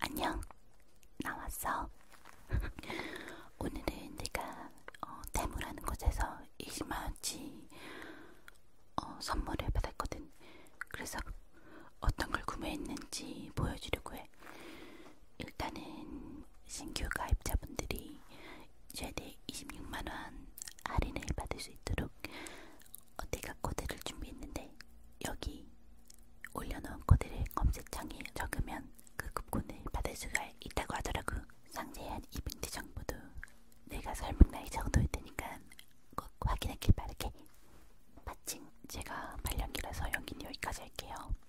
안녕, 나왔어. 오늘은 내가 어, 대무라는 곳에서 20만원치 어, 선물을 받았거든. 그래서 어떤 걸 구매했는지 보여주려고 해. 일단은 신규 가입자분들이 최대 26만원 할인을 받을 수 있도록 내가 코드를 준비했는데 여기 올려놓은 코드를 검색창에 적으면 그 쿠폰을 받을 수가 있다고 하더라고. 상세한 이벤트 정보도 내가 설명할 정도일 테니까 꼭 확인하길 바랄게. 마침 제가 발령기라서 연기는 여기까지 할게요.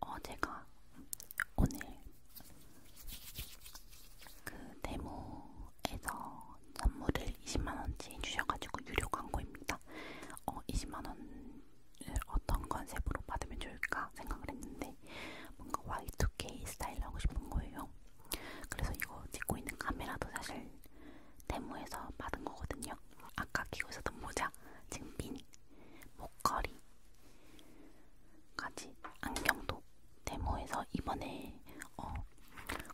어, 제가 오늘 그 데모에서 선물을 20만원치 주셔가지고 유료 광고입니다. 어, 20만원을 어떤 컨셉으로 받으면 좋을까 생각을 했는데 뭔가 Y2K 스타일로 하고 싶은 거예요. 그래서 이거 찍고 있는 카메라도 사실 데모에서 받은 거거든요. 아까 끼고 있었던 모자, 증빈, 목걸이, 가지 안경도 데모에서 이번에 어,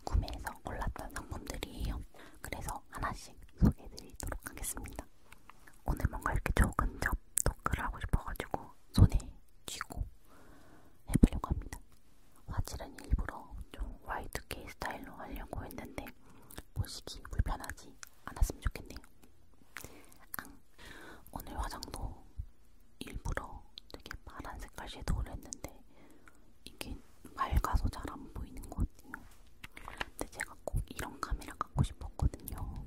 구매해서 골랐던 상품들이에요. 그래서 하나씩 소개해드리도록 하겠습니다. 오늘 뭔가 이렇게 조금 접 토크를 하고 싶어가지고 손에 쥐고 해보려고 합니다. 화질은 일부러 좀 Y2K 스타일로 하려고 했는데 보시기 불편하지 안 왔으면 좋겠네요. 앙. 오늘 화장도 일부러 되게 파란 색깔 섀도우를 했는데 이게 맑아서 잘 안 보이는 것 같아요. 근데 제가 꼭 이런 카메라 갖고 싶었거든요.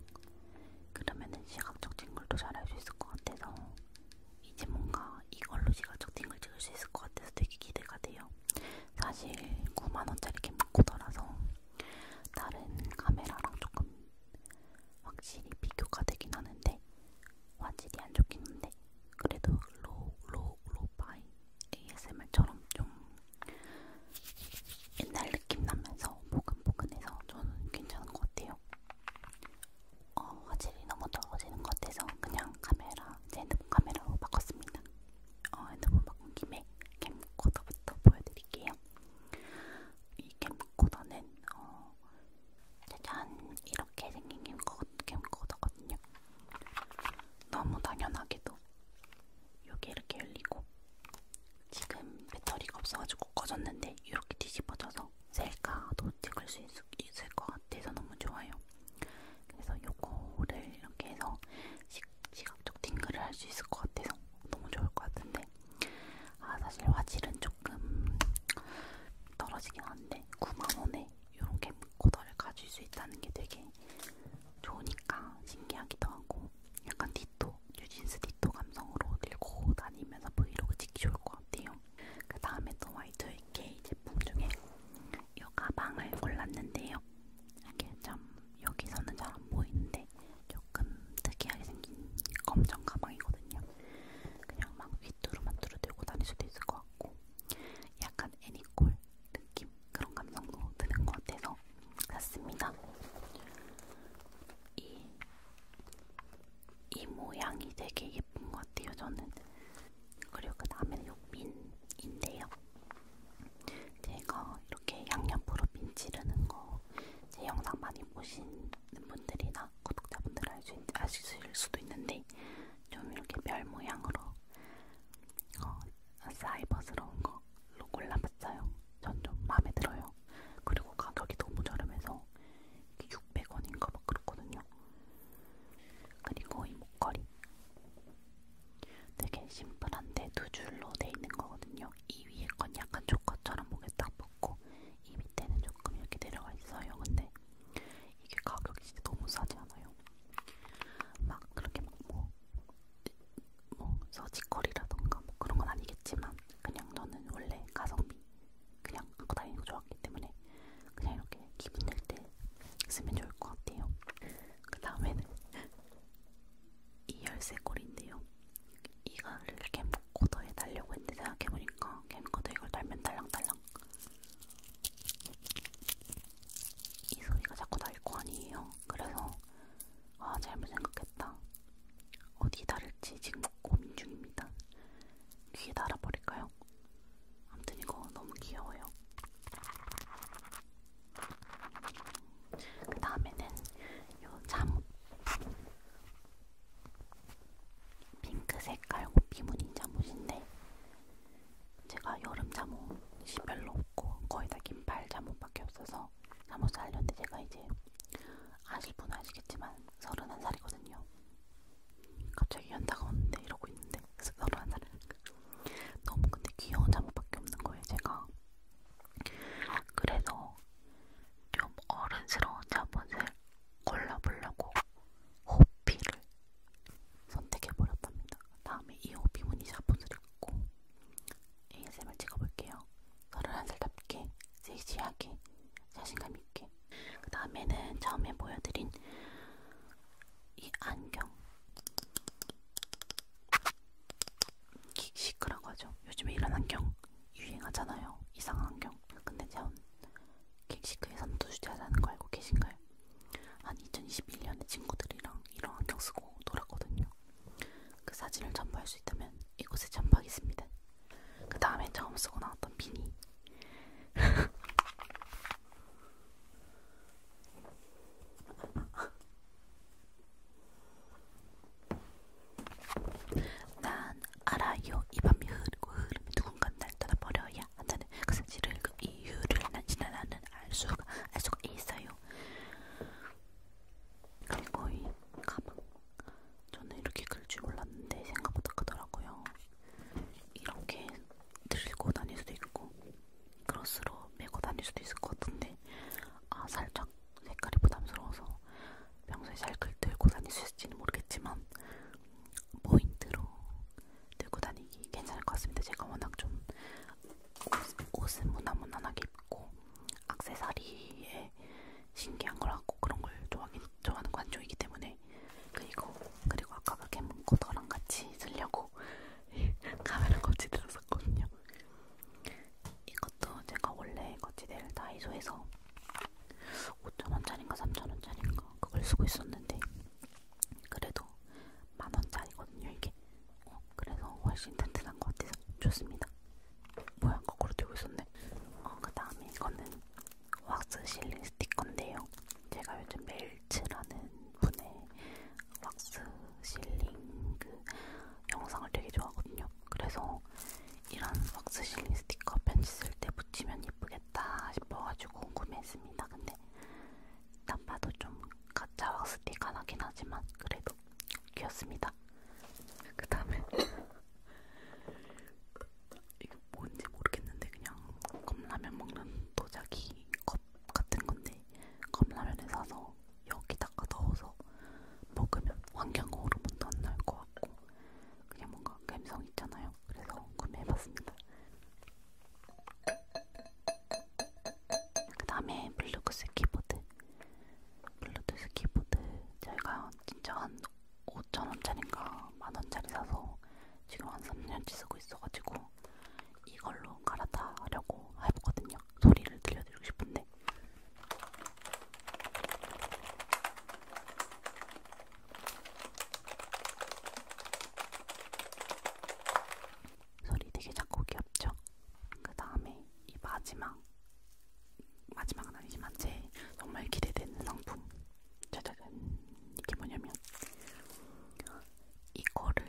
그러면은 시각적 팅글도 잘 할 수 있을 것 같아서 이제 뭔가 이걸로 시각적 팅글 찍을 수 있을 것 같아서 되게 기대가 돼요. 사실 9만원짜리 캠코더라서 다른 카메라랑 조금 확실히 비교가 되긴 하는데 화질이 안 좋긴 한데 그래도 로, 로, 로파이 ASMR처럼 좀 옛날 느낌 나면서 보근보근해서 저는 괜찮은 것 같아요. 어, 화질이 너무 떨어지는 것 같아서 그냥 카메라, 제 핸드폰 카메라로 바꿨습니다. 어, 핸드폰 바꾼 김에 캠코더부터 보여드릴게요. 이 캠코더는 어, 짜잔 이렇게 생긴 캠코, 캠코더거든요. 너무 당연하게도 여기 이렇게 열리고 지금 배터리가 없어가지고 꺼졌는데 이렇게 뒤집어져서 셀카도 찍을 수 있, 있을 것 같아서 너무 좋아요. 그래서 요거를 이렇게 해서 시, 시각적 팅글을 할 수 있을 것 같아서 너무 좋을 것 같은데 아 사실 화질은 조금 떨어지긴 한데 9만원에 이런 캠코더를 가질 수 있다는 게 되게 좋으니까 신기하기도 하고 약간 디토, 뉴진스 디토 감성으로 들고 다니면서 브이로그 찍기 좋을 것 같아요 그 다음에 또 Y2K 제품 중에 이 가방을 골랐는데요 이게 참 여기서는 잘 안 보이는데 조금 특이하게 생긴 검정 가방이거든요. 그냥 막 휘뚜루만 뚜루들고 다닐 수도 있을 것 같고 약간 애니콜 느낌 그런 감성도 드는 것 같아서 샀습니다. 이, 이 모양이 되게 예쁜 것 같아요. 저는 그리고 그 다음에는 요 민인데요. 제가 이렇게 양옆으로 빈 찌르는 거 제 영상 많이 보시는 분들이나 구독자분들 알수 아실 수도 있는데 좀 이렇게 별 모양으로 어, 사이버스러운 걸로 골라봤어요. 전좀 마음에 들어요. 그리고 가격이 너무 저렴해서 600원인가 막 그렇거든요. 그리고 이 목걸이 되게 심플한데 두 줄로 돼 있는 거거든요. 이 위에 건 약간 조커처럼 목에 딱 붙고 이 밑에는 조금 이렇게 내려가 있어요. 근데 이게 가격이 진짜 너무 싸지 않아요? 막 그렇게 막 뭐 뭐 서지컬이라던가 뭐 그런 건 아니겠지만 그냥 너는 원래 가성비 그냥 갖고 다니는 거 좋았기 때문에 그냥 이렇게 기분 낼 때 쓰면 좋을 것 같아요. 그 다음에는 이 열쇠골인데요. 이거를 캠코더에 달려고 했는데 생각해보니까 캠코더 이걸 달면 달랑달랑 이 소리가 자꾸 날 거 아니에요. 그래서 아 잘못 생각했다. 어디 다를지 지금 고민 중입니다. 귀에 달아버릴까요? 아무튼 이거 너무 귀여워요. 그 다음에는 요 잠옷 핑크 색깔 고비 무늬 잠옷인데 제가 여름 잠옷이 별로 없고 거의 다 긴팔 잠옷밖에 없어서 잠옷 살려는데 제가 이제 아실 분은 아시겠지만 서른한 살이거든요. 갑자기 연다가 오는데 이러고 있는데 서른한 살을 너무 근데 귀여운 잠옷밖에 없는 거예요 제가. 그래서 좀 어른스러운 자본을 골라보려고 호피를 선택해버렸답니다. 다음에 이 호피 무늬 자본을 갖고 ASMR 찍어볼게요. 31살답게, 섹시하게, 자신감 있게. 그 다음에는 처음에 보여드린 이 안경. 시크한 거죠. 요즘에 이런 안경 유행하잖아요. 이상한 안경. 근데 전 킥시크에선 두주제하자는 거 알고 계신가요? 한 2021년에 친구들이랑 이런 안경 쓰고 놀았거든요. 그 사진을 첨부할 수 있다면 이곳에 첨부하겠습니다. 그 다음에 처음 쓰고 나왔던 비니. 난 알아요 이밤이 흐르고 흐름이 누군가 날 떠나버려야 한다는 그 사실을 그 이유를 난 지난 나는 알 수가 알 수가 있어요. 그리고 이 가방 저는 이렇게 글줄 몰랐는데 생각보다 크더라고요. 이렇게 들고 다닐 수도 있고 크로스로 메고 다닐 수도 있을 것 같은데 아 살짝 색깔이 부담스러워서 평소에 잘 들고 다닐 수 있을지는 모르겠지만 포인트로 들고 다니기 괜찮을 것 같습니다. 제가 워낙 좀 옷, 은 무난무난하게 입고 악세사리에 신기한 걸 하고 그런 걸 좋아하긴, 좋아하는 관종이기 때문에 그리고 그리고 아까 그 캠코더랑 같이 쓰려고 하고 카메라 거치 들었었거든요. 이것도 제가 원래 거치대를 다이소에서 5,000원짜리인가 3,000원짜리인가 그걸 쓰고 있었는데 그래도 만원짜리거든요 이게 어, 그래서 훨씬 튼튼한 것 같아서 좋습니다 뭐야 거꾸로 들고 있었네 어, 그 다음에 이거는 왁스 실링 스티커인데요 제가 요즘 매일 벨츠라는 분의 왁스 실링 그 영상을 되게 좋아하거든요. 그래서 이런 왁스 실링 스티커 편지 쓸 때 붙이면 예쁘겠다 싶어가지고 구매했습니다. 근데 일단 봐도 좀 가짜 왁스 스티커 나긴 하지만 그래도 귀엽습니다. 그 다음에 이게 뭔지 모르겠는데 그냥 컵라면 먹는 도자기 컵컵 같은 건데 컵라면을 사서 여기다가 넣어서 먹으면 환경호 호르몬도 안날 것 같고 그냥 뭔가 감성 있잖아요. 그래서 구매해봤습니다. 그 다음에 블루투스 키보드 블루투스 키보드 제가 진짜 한 5,000원짜리인가 만원짜리 사서 지금 한 3년째 쓰고 있어가지고 이걸로 갈아다 하려고 해보거든요. 소리를 들려드리고 싶은데. 소리 되게 작고 귀엽죠? 그 다음에 이 마지막, 마지막은 아니지만 제 정말 기대되는 상품 짜자잔 이게 뭐냐면 이거를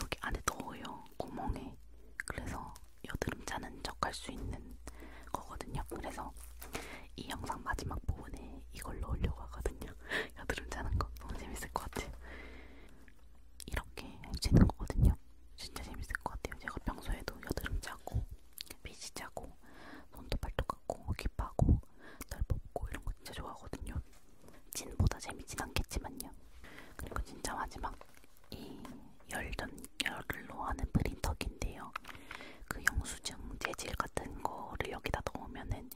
여기 안에 넣어요. 구멍에. 그래서 여드름 자는 척 할 수 있는 거거든요. 그래서 이 영상 마지막 부분에 이걸 넣으려고 하거든요. 여드름 자는 거 너무 재밌을 것 같아요. 이렇게 할수 있는 거거든요. 진짜 재밌을 것 같아요. 제가 평소에도 여드름 자고, 피지 자고, 손톱 발톱 깎고, 깁하고, 날 뽑고 이런 거 진짜 좋아하거든요. 재밌어요. 진보다 재밌진 않겠지만요. 그리고 진짜 마지막 이 열전 열로 하는 프린터기인데요. 그 영수증 재질 같은 거를 여기다 넣으면은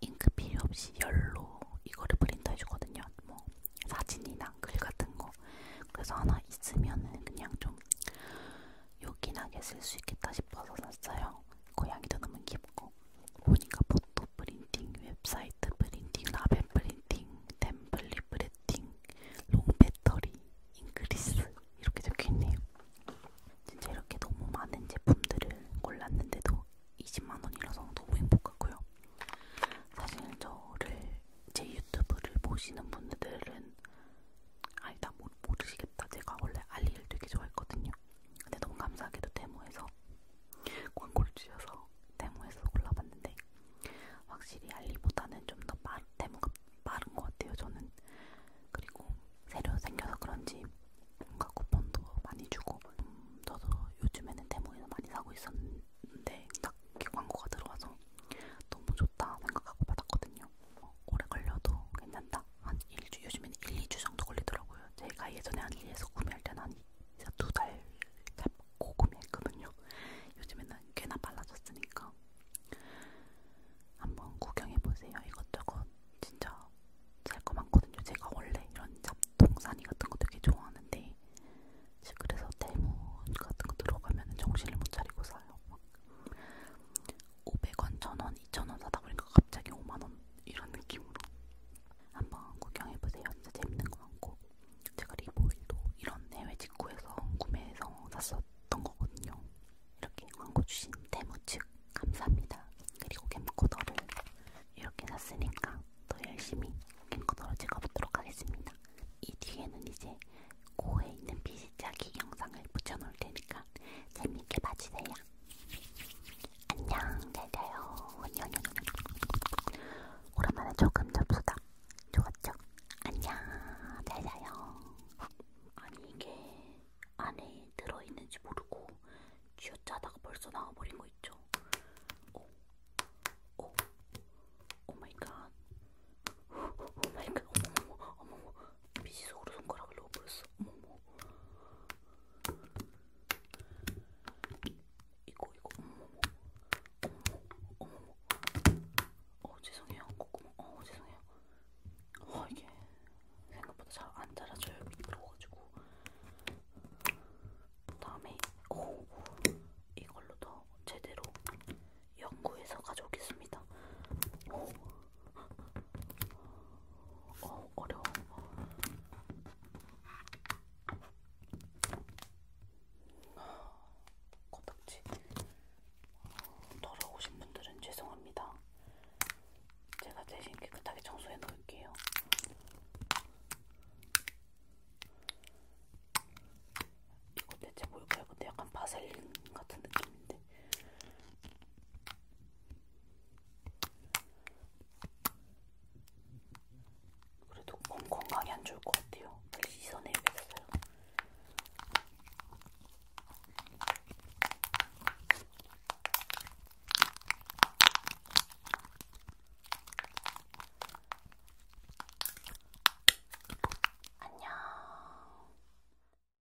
잉크 필요 없이 열로 이거를 프린터 해주거든요. 뭐 사진이나 글 같은 거. 그래서 하나 있으면은 그냥 좀 요긴하게 쓸 수 있겠다 싶어서 샀어요. 고양이도 너무 귀엽고 보니까 포토 프린팅, 웹사이트 프린팅, 라벨 프린팅, 템플릿 프린팅, 롱 배터리, 잉그리스 이렇게 적혀있네요. 진짜 이렇게 너무 많은 제품들을 골랐는데도 20만원이라서 너무 행복하고요. 사실 저를 제 유튜브를 보시는 분들은 아니다 모르시겠다. 제가 원래 알리를 되게 좋아했거든요. 근데 너무 감사하게도 데모에서 광고를 주셔서 데모에서 골라봤는데 확실히 알리보다는 좀더 데모가 빠른 것 같아요 저는 그리고 새로 생겨서 그런지 뭔가 쿠폰도 많이 주고 음, 저도 요즘에는 데모에서 많이 사고 있었는데 딱 광고가 들어와서 너무 좋다 생각하고 받았거든요 어, 오래 걸려도 괜찮다 걸립니다. 한 1주, 요즘엔 1, 2주 정도 걸리더라고요. 제가 예전에 한리에서 구매할 때는 한 2달 잡고 구매했거든요. 요즘에는 꽤나 빨라졌으니까. 한번 구경해보세요. 이것저것 진짜 살 거 많거든요. 제가 원래 이런 잡동사니 같은 거 되게 좋아하는데 그래서 대문 같은 거 들어가면 정신을 못 차리고 사요. 막 500원, 1000원, 2000원 사다 보니까 갑자기 5만원 이런 느낌으로 한번 구경해보세요. 진짜 재밌는 거 많고 제가 리보일도 이런 해외 직구에서 구매해서 샀었던 거거든요. 이렇게 광고 주신 대무측 감사합니다. 그리고 캠코더를 이렇게 샀으니까 더 열심히 캠코더로 찍어보도록 하겠습니다. 이 뒤에는 이제 코에 있는 비시짜기 영상을 붙여놓을 테니까 재밌게 봐주세요. 안녕, 잘 자요. 오랜만에 조금 접수다. 좋았죠? 안녕, 잘 자요. 아니, 이게 안에 들어있는지 모르고 쥐어짜다가 벌써 나와버린 거 있죠? 오, 오, 오 마이 갓. 오 마이 갓, 어머머, 어머머. 미지 속으로 손가락을 넣어버렸어. 어머머. 이거 이거 어머머. 어머머. 어머머. 어 죄송해요. 꼬꼬마. 어 죄송해요. 어 이게 생각보다 잘 안 자라져요. 미끄러워가지고. 다음에 오 이걸로 더 제대로 연구해서 가져오겠습니다. 오. 어, 어려워. 코딱지. 더러우신 분들은 죄송합니다. 제가 대신 깨끗하게 청소해 놓을게요. 이거 대체 뭘까요? 근데 약간 바셀린 같은 느낌인데. 그래도 몸 건강이 안 좋을 것 같아요. 빨리 씻어내야겠어요. 안녕.